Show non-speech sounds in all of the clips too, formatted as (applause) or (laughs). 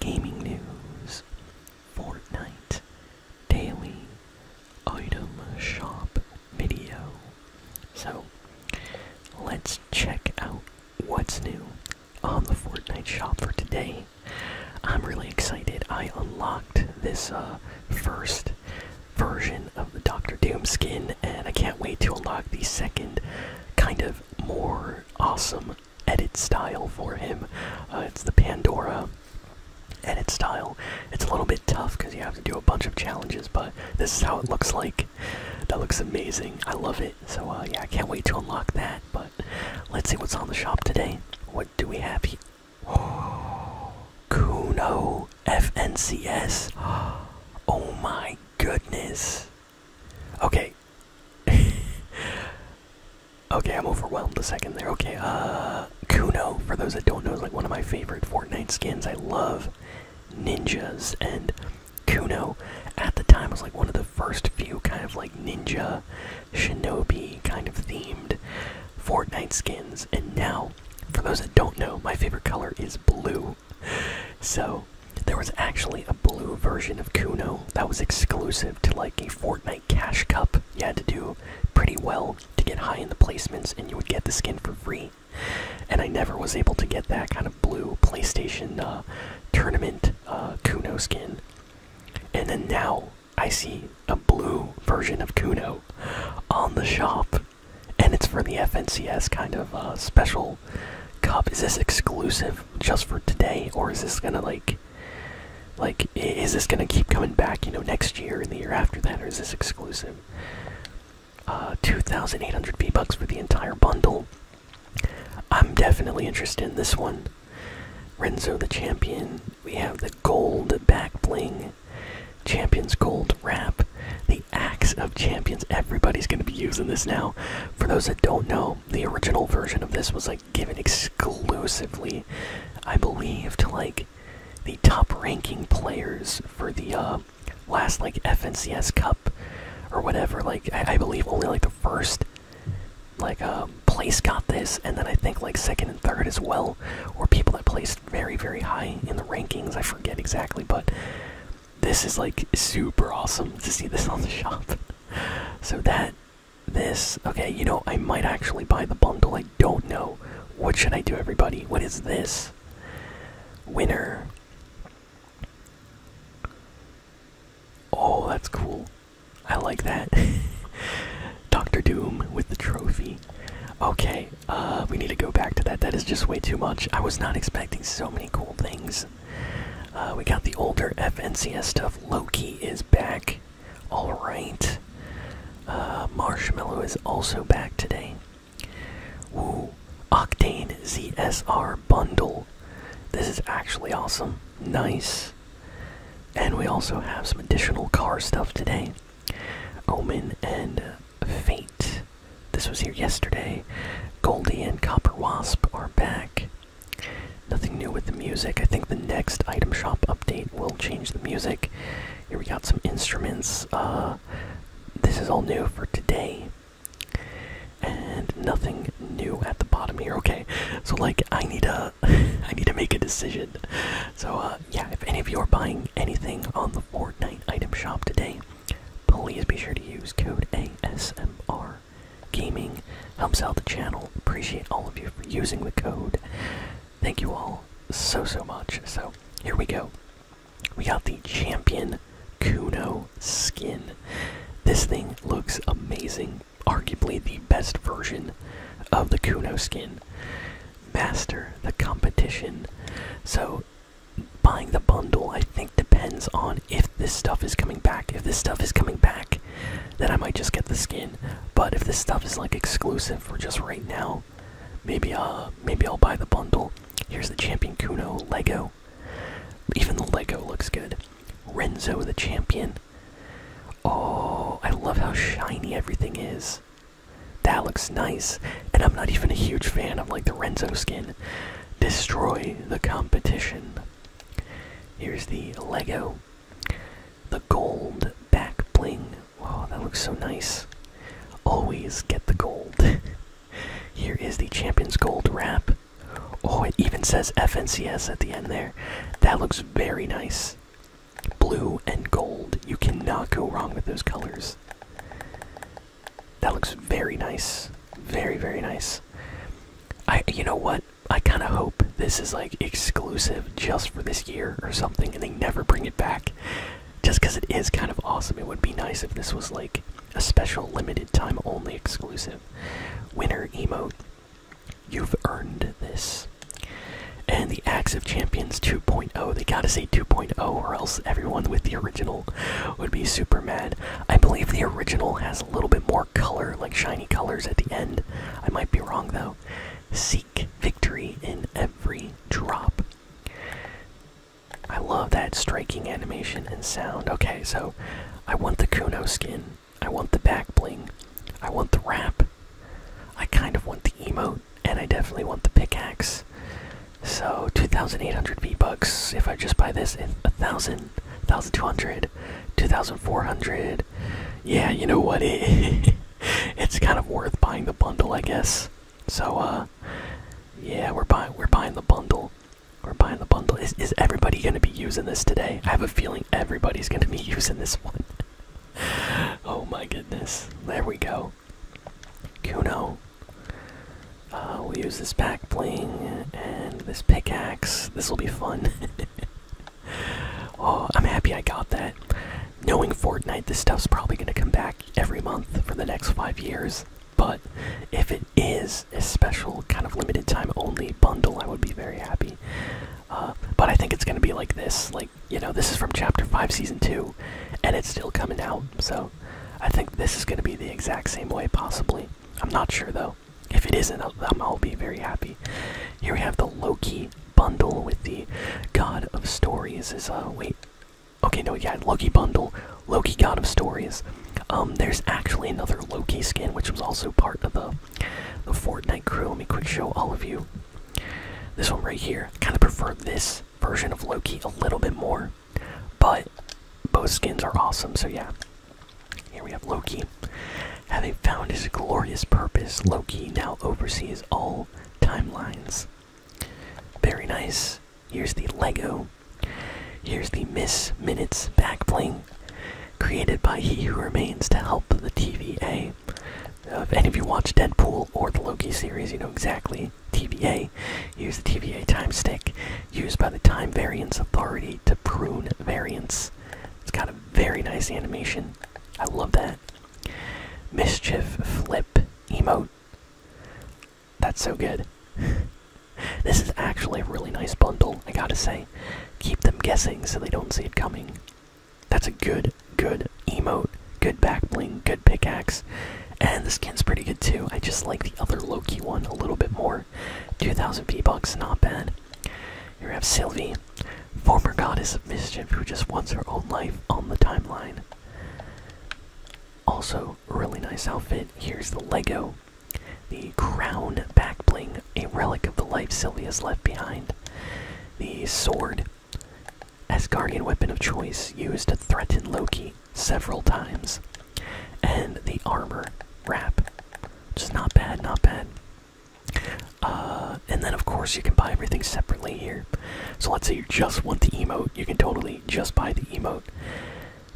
gaming news, Fortnite daily item shop video. So let's check out what's new on the Fortnite shop for today. I'm really excited. I unlocked this uh, first version of the Doctor Doom skin, and I can't wait to unlock the second, kind of more awesome edit style for him. Uh, it's the Pandora edit style. It's a little bit tough because you have to do a bunch of challenges, but this is how it looks like. That looks amazing. I love it. So uh, yeah, I can't wait to unlock that. But let's see what's on the shop today. What do we have here? (gasps) Kuno FNCS. (gasps) Oh my goodness. Okay, (laughs) okay, I'm overwhelmed a second there. Okay, uh, Kuno, for those that don't know, is like one of my favorite Fortnite skins. I love ninjas, and Kuno at the time was like one of the first few kind of like ninja, shinobi kind of themed Fortnite skins. And now, for those that don't know, my favorite color is blue. So there was actually a blue version of Kuno that was exclusive to like a Fortnite Cash Cup. You had to do pretty well to get high in the placements, and you would get the skin for free. And I never was able to get that kind of blue PlayStation uh, tournament uh, Kuno skin. And then now I see a blue version of Kuno on the shop, and it's for the FNCS kind of uh, special Cup. Is this exclusive just for today, or is this gonna like, like, is this gonna keep coming back? You know, next year and the year after that, or is this exclusive? Uh, 2,800 V bucks for the entire bundle. I'm definitely interested in this one. Renzo the champion. We have the gold back bling, champions gold wrap, the the of Champions. Everybody's going to be using this now. For those that don't know, the original version of this was like given exclusively, I believe, to like the top ranking players for the uh, last like FNCS Cup or whatever. Like, I, believe only like the first like um, place got this, and then I think like second and third as well, or people that placed very, very high in the rankings. I forget exactly, but this is like super awesome to see this on the shop. (laughs) So that this okay, you know I might actually buy the bundle. I don't know. What should I do everybody? What is this? Winner. Oh, that's cool. I like that. (laughs) Doctor Doom with the trophy. Okay, uh we need to go back to that. That is just way too much. I was not expecting so many cool things. Uh, we got the older FNCS stuff. Loki is back. Alright. Uh, Marshmallow is also back today. Woo. Octane ZSR bundle. This is actually awesome. Nice. And we also have some additional car stuff today. Omen and Fate. This was here yesterday. Goldie and Copper Wasp are back. Nothing new with the music. I think the next item shop update will change the music. Here we got some instruments. Uh, this is all new for today. And nothing new at the bottom here. Okay, so like I need a, (laughs) I need to make a decision. So uh, yeah, if any of you are buying anything on the Fortnite item shop today, Please be sure to use code ASMR Gaming. Helps out the channel. Appreciate all of you for using the code. Thank you all so so much. So here we go. We got the champion Kuno skin. This thing looks amazing. Arguably the best version of the Kuno skin. Master the competition. So buying the bundle, I think, depends on if this stuff is coming back. If this stuff is coming back, then I might just get the skin. But if this stuff is like exclusive for just right now, maybe uh maybe I'll buy the bundle. Here's the Champion Kuno Lego. Even the Lego looks good. Renzo the champion. Oh, I love how shiny everything is. That looks nice. And I'm not even a huge fan of like the Renzo skin. Destroy the competition. Here's the Lego. The gold back bling. Oh, that looks so nice. Always get the gold. (laughs) Here is the Champions Gold wrap. Oh, it even says FNCS at the end there. That looks very nice. Blue and gold. You cannot go wrong with those colors. That looks very nice. Very, very nice. I you know what? I kind of hope this is like exclusive just for this year or something and they never bring it back. Just cuz it is kind of awesome. It would be nice if this was like a special limited time only exclusive. Winner emote. You've earned this. And the Axe of Champions 2.0 Oh, They gotta say 2.0, or else everyone with the original would be super mad. I believe the original has a little bit more color, like shiny colors at the end. I might be wrong though. Seek victory in every drop. I love that striking animation and sound. Okay, so I want the Kuno skin. I want the back bling. I want the wrap. I kind of want the emote and I definitely want the pickaxe. So 2,800 V-Bucks, if I just buy this, in 1,000, 1,200, 2,400. Yeah, you know what, it, (laughs) it's kind of worth buying the bundle, I guess. So, uh, yeah, we're buying, we're buying the bundle. We're buying the bundle. Is, is everybody going to be using this today? I have a feeling everybody's going to be (laughs) using this one. (laughs) oh my goodness. There we go. Kuno. Uh, we'll use this back bling and this pickaxe. This will be fun. (laughs) Oh, I'm happy I got that. Knowing Fortnite, this stuff's probably going to come back every month for the next five years. But if it is a special, kind of limited time only bundle, I would be very happy. Uh, but I think it's going to be like this. Like, you know this is from chapter 5 season 2 and it's still coming out so i think this is going to be the exact same way possibly i'm not sure though if it isn't I'll, be very happy here we have the loki bundle with the god of stories is uh wait okay no yeah loki bundle loki god of stories um there's actually another loki skin which was also part of the the fortnite crew let me quick show all of you this one right here kind of prefer this version of Loki a little bit more, but both skins are awesome. So yeah, here we have Loki. Having found his glorious purpose, Loki now oversees all timelines. Very nice. Here's the Lego. Here's the Miss Minutes back bling, created by He Who Remains to help the TVA uh, if any of you watch Deadpool or the Loki series, you know exactly TVA. Use the TVA time stick used by the Time Variance Authority to prune variants. It's got a very nice animation. I love that. Mischief flip emote. That's so good. (laughs) this is actually a really nice bundle, I gotta say. Keep them guessing so they don't see it coming. That's a good, good emote, good back bling, good pickaxe. And the skin's pretty good too. I just like the other Loki one a little bit more. 2,000 P-Bucks, not bad. Here we have Sylvie, former goddess of mischief who just wants her own life on the timeline. Also, really nice outfit. Here's the Lego, the crown back bling, a relic of the life Sylvie has left behind. The sword, as guardian weapon of choice used to threaten Loki several times. And the armor wrap. Just not bad, not bad. Uh, and then, of course, you can buy everything separately here. So let's say you just want the emote, you can totally just buy the emote.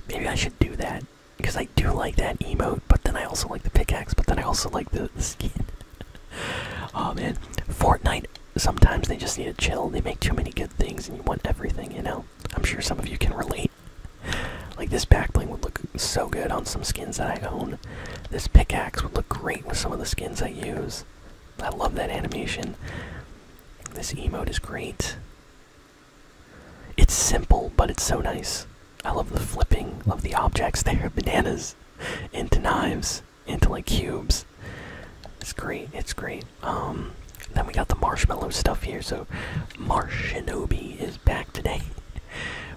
Maybe I should do that because I do like that emote, but then I also like the pickaxe, but then I also like the, the skin. (laughs) oh man, Fortnite sometimes they just need to chill. They make too many good things, and you want everything. You know, I'm sure some of you can relate. Like this backbling would look so good on some skins that I own. This pickaxe would look great with some of the skins I use. I love that animation. This emote is great. It's simple, but it's so nice. I love the flipping, love the objects (laughs) there, bananas into knives into like cubes. It's great. It's great. Um, then we got the marshmallow stuff here. So Marshinobi is back today.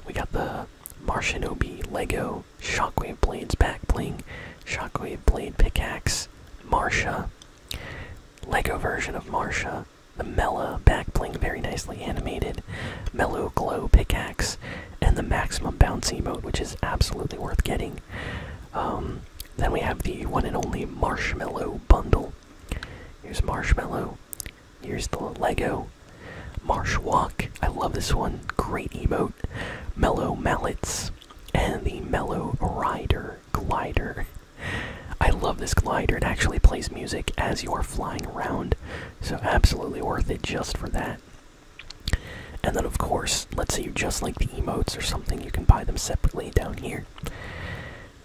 we got the Marshinobi Lego Shockwave Blades back bling, Shockwave Blade pickaxe, Marsha, Lego version of Marsha. The Mela back bling very nicely animated. Mellow Glow pickaxe and the maximum bounce emote, which is absolutely worth getting. Um, then we have the one and only Marshmallow bundle. Here's Marshmallow. Here's the Lego. Marsh Walk. I love this one. Great emote. Mellow Mallets. And the Mellow Rider Glider. I love this glider. It actually plays music as you are flying around. So, absolutely worth it just for that. And then, of course, let's say you just like the emotes or something, you can buy them separately down here.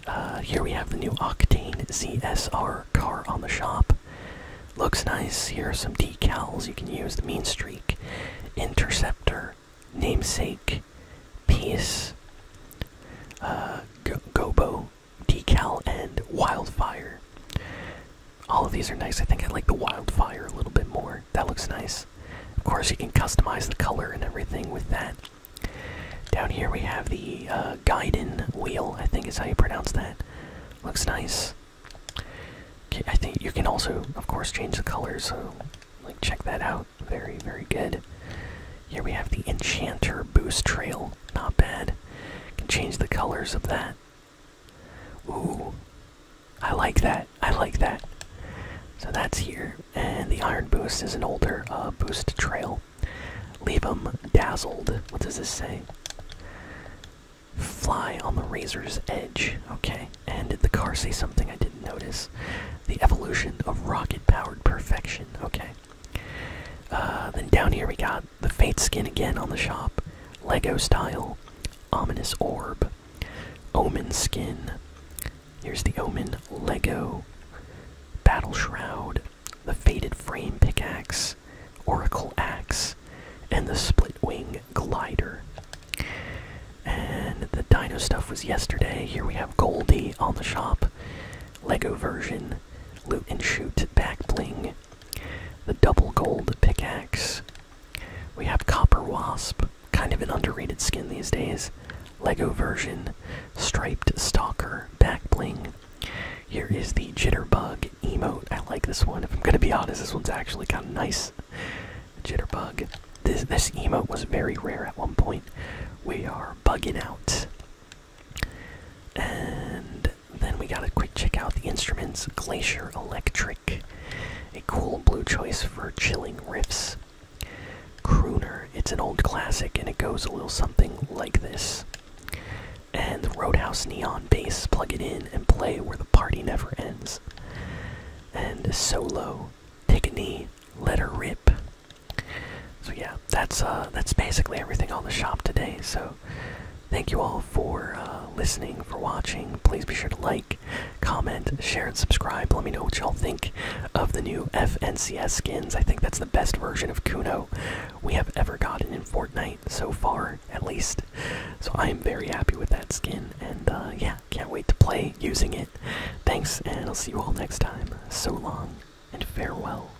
Uh, here we have the new Octane ZSR car on the shop. Looks nice. Here are some decals you can use the Mean Streak, Interceptor, Namesake, Peace, uh, Gobo, Decal, and Wildfire. All of these are nice. I think I like the wildfire a little bit more. That looks nice. Of course, you can customize the color and everything with that. Down here we have the uh, wheel, I think is how you pronounce that. Looks nice. I think you can also, of course, change the color, so like check that out. Very, very good. Here we have the Enchanter Boost Trail. Not bad. can change the colors of that. Ooh. I like that. I like that. So that's here. And the Iron Boost is an older uh, boost trail. Leave them dazzled. What does this say? Fly on the razor's edge. Okay. And did the car say something I didn't notice? The evolution of rocket powered perfection. Okay. Uh, then down here we got the Fate skin again on the shop, Lego style, Ominous Orb, Omen skin. Here's the Omen Lego, Battle Shroud, the Faded Frame pickaxe, Oracle axe, and the Split Wing glider. And the dino stuff was yesterday. Here we have Goldie on the shop, Lego version, Loot and Shoot back bling, the double gold pickaxe. We have Copper Wasp, kind of an underrated skin these days. Lego version, Striped Stalker, Back Bling. Here is the Jitterbug emote. I like this one. If I'm gonna be honest, this one's actually kind of nice. Jitterbug. This, emote was very rare at one point. We are bugging out. And then we got to quick check out the instruments Glacier Electric, a cool blue choice for chilling riffs. Crooner, it's an old classic and it goes a little something like this. And Roadhouse Neon Bass, plug it in and play where the party never ends. And Solo, take a knee, let her rip. So yeah, that's uh, that's basically everything on the shop today. So thank you all for uh, listening, for watching. Please be sure to like, comment, share, and subscribe. Let me know what y'all think of the new FNCS skins. I think that's the best version of Kuno we have ever gotten in Fortnite so far, at least. So, I am very happy with that skin, and uh, yeah, can't wait to play using it. Thanks, and I'll see you all next time. So long, and farewell.